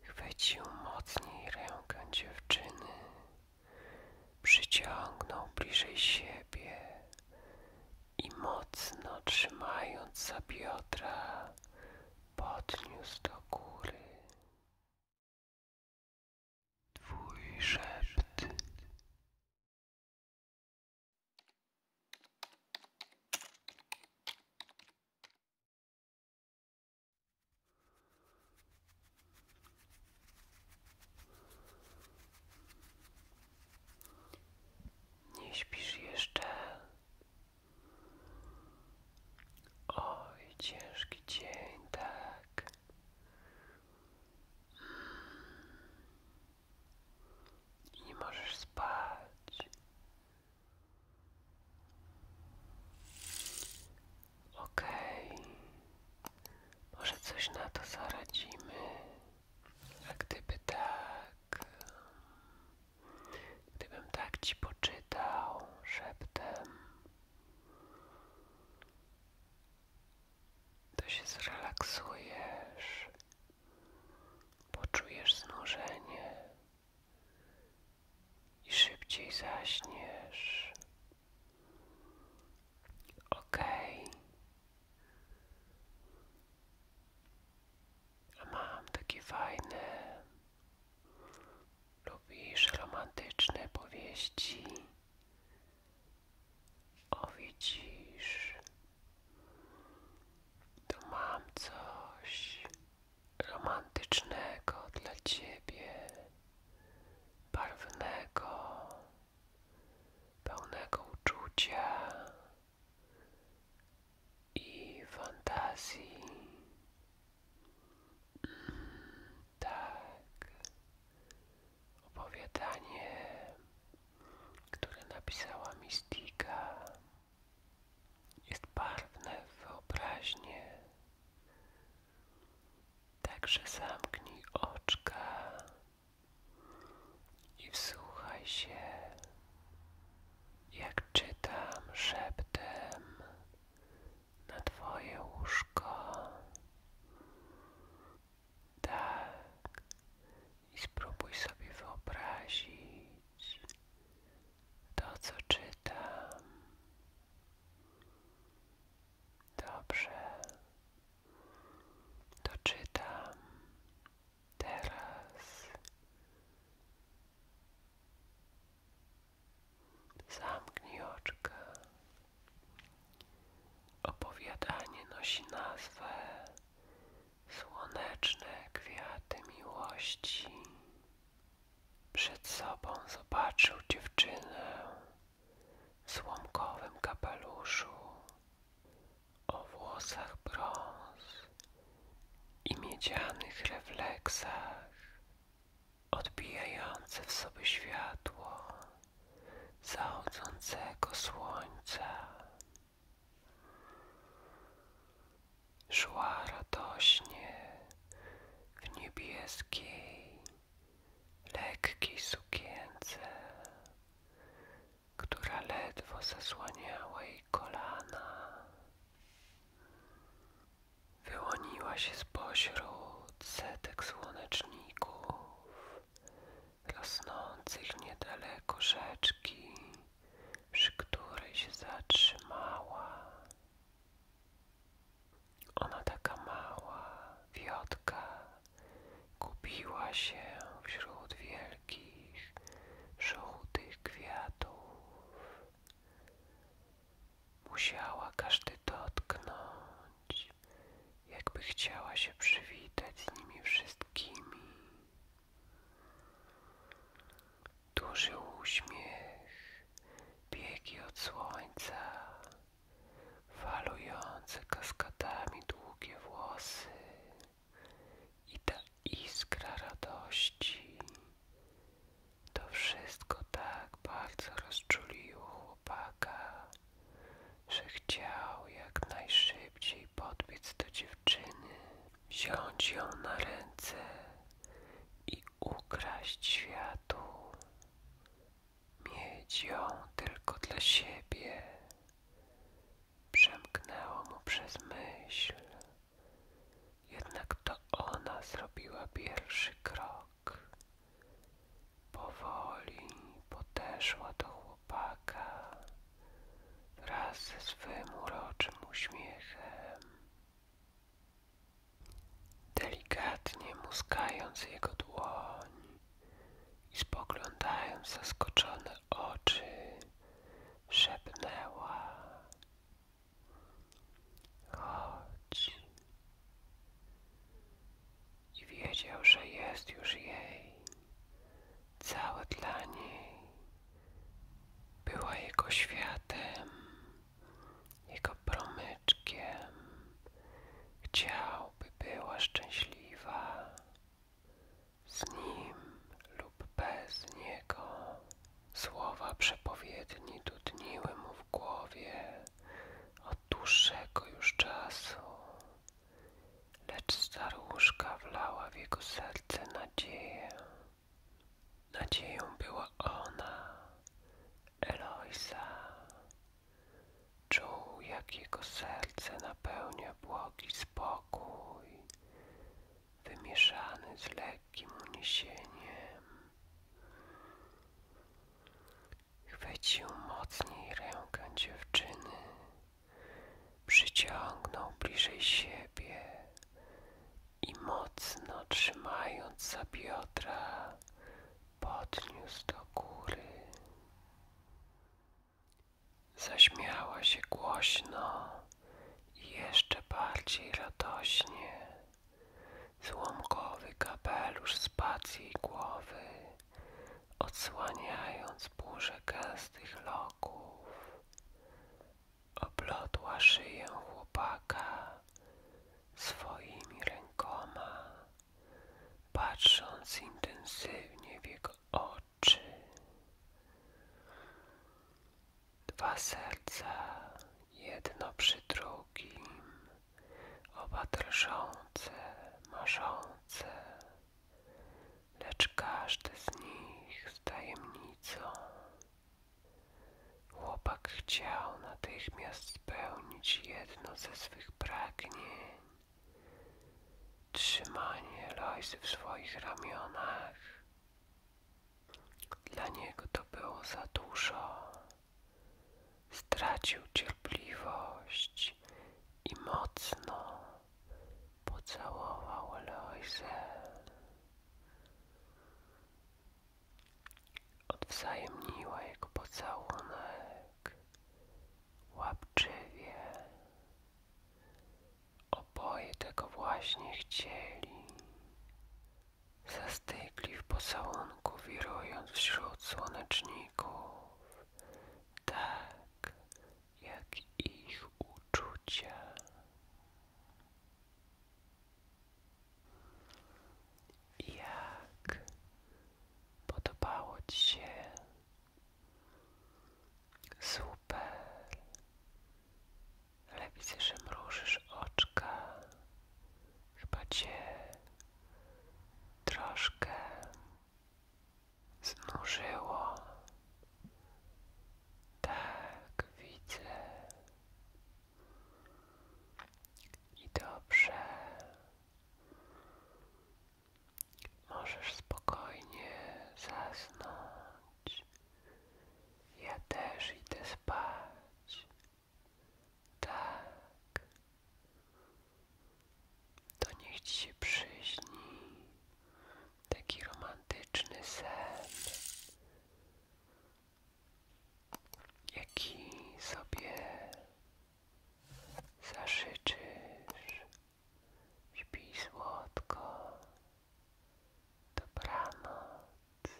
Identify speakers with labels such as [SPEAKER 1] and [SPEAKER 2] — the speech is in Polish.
[SPEAKER 1] Chwycił mocniej rękę dziewczyny, przyciągnął bliżej siebie i mocno trzymając za biodra, podniósł do góry. Twój szept. Nie śpisz jeszcze. Oj, ciężki dzień, tak. I nie możesz spać. OK, może coś na to zaradzimy, a gdyby tak, gdybym tak ci poczytał szeptem, to się zrelaksujesz, poczujesz znużenie i szybciej zaśniesz. Okej. A mam takie fajne. Lubisz romantyczne powieści? O widzisz, to mam coś romantycznego dla ciebie, barwnego, pełnego uczucia i fantazji. tak, opowiadanie, które napisała Mistika jest barwne w wyobraźnię. Także zamknij oczka i wsłuchaj się, jak czytam szeptem na Twoje łóżko. Tak, i spróbuj sobie wyobrazić, to, co czytam. Dobrze, to czytam teraz. Zamknij oczka. Opowiadanie nosi nazwę słoneczne kwiaty miłości. Przed sobą zobaczył dziewczynę w słomkowym kapeluszu, o włosach brąz i miedzianych refleksach, odbijające w sobie światło zachodzącego słońca. Szła radośnie w niebieskiej, lekkiej sukience, która ledwo zasłaniała jej kolana. Wyłoniła się z spośród setek słoneczników, rosnących niedaleko rzeczki przy której się zatrzymała. Ona taka mała, wiotka, gubiła się wśród wielkich, żółtych kwiatów. Musiała każdy dotknąć, jakby chciała się przywitać z nimi wszystkimi. Duży uśmiech, biegi od słońca, falujące kaskadami długie włosy i ta iskra radości. To wszystko tak bardzo rozczuliło chłopaka, że chciał jak najszybciej i do dziewczyny, wziąć ją na ręce i ukraść światu, mieć ją tylko dla siebie. Przemknęło mu przez myśl, jednak to ona zrobiła pierwszy krok. Powoli podeszła do chłopca chłopaka wraz ze swym uroczym uśmiechem, delikatnie muskając jego dłoń i spoglądając w zaskoczone oczy, szepnęła: Chodź. I wiedział, że jest już jej całe dla niej była jego światem, jego promyczkiem. Chciał, by była szczęśliwa z nim lub bez niego. Słowa przepowiedni dudniły mu w głowie od dłuższego już czasu lecz staruszka wlała w jego serce nadzieję. Nadzieją była ona, Eloisa. Czuł, jak jego serce napełnia błogi spokój, wymieszany z lekkim uniesieniem. Chwycił mocniej rękę dziewczyny Przyciągnął bliżej siebie i mocno trzymając za biodra, podniósł do góry. Zaśmiała się głośno i jeszcze bardziej radośnie. Złomkowy kapelusz spadł z jej głowy odsłaniając burzę gęstych loków. Oplotła szyję chłopaka swoimi rękoma, patrząc intensywnie w jego oczy. Dwa serca, jedno przy drugim, oba drżące, marzące lecz każdy z nich z tajemnicą. Chłopak chciał natychmiast spełnić jedno ze swych pragnień trzymanie Loisy w swoich ramionach. Dla niego to było za dużo. Stracił cierpliwość i mocno pocałował Loisę. Odwzajemniła jego pocałunek łapczywie. Oboje tego właśnie chcieli. Zastygli w pocałunku, wirując wśród słonecznika przeciwników, tak jak ich uczucia. Jak podobało Ci się? Super. Ale widzę, że mrużysz oczka. Chyba Cię troszkę zmurzyło. Tak widzę. I dobrze. Możesz spokojnie zasnąć. Ja też idę spać. Tak. To niech ci się przyśni taki romantyczny sen, jaki sobie zażyczysz. Śpij słodko. Dobranoc.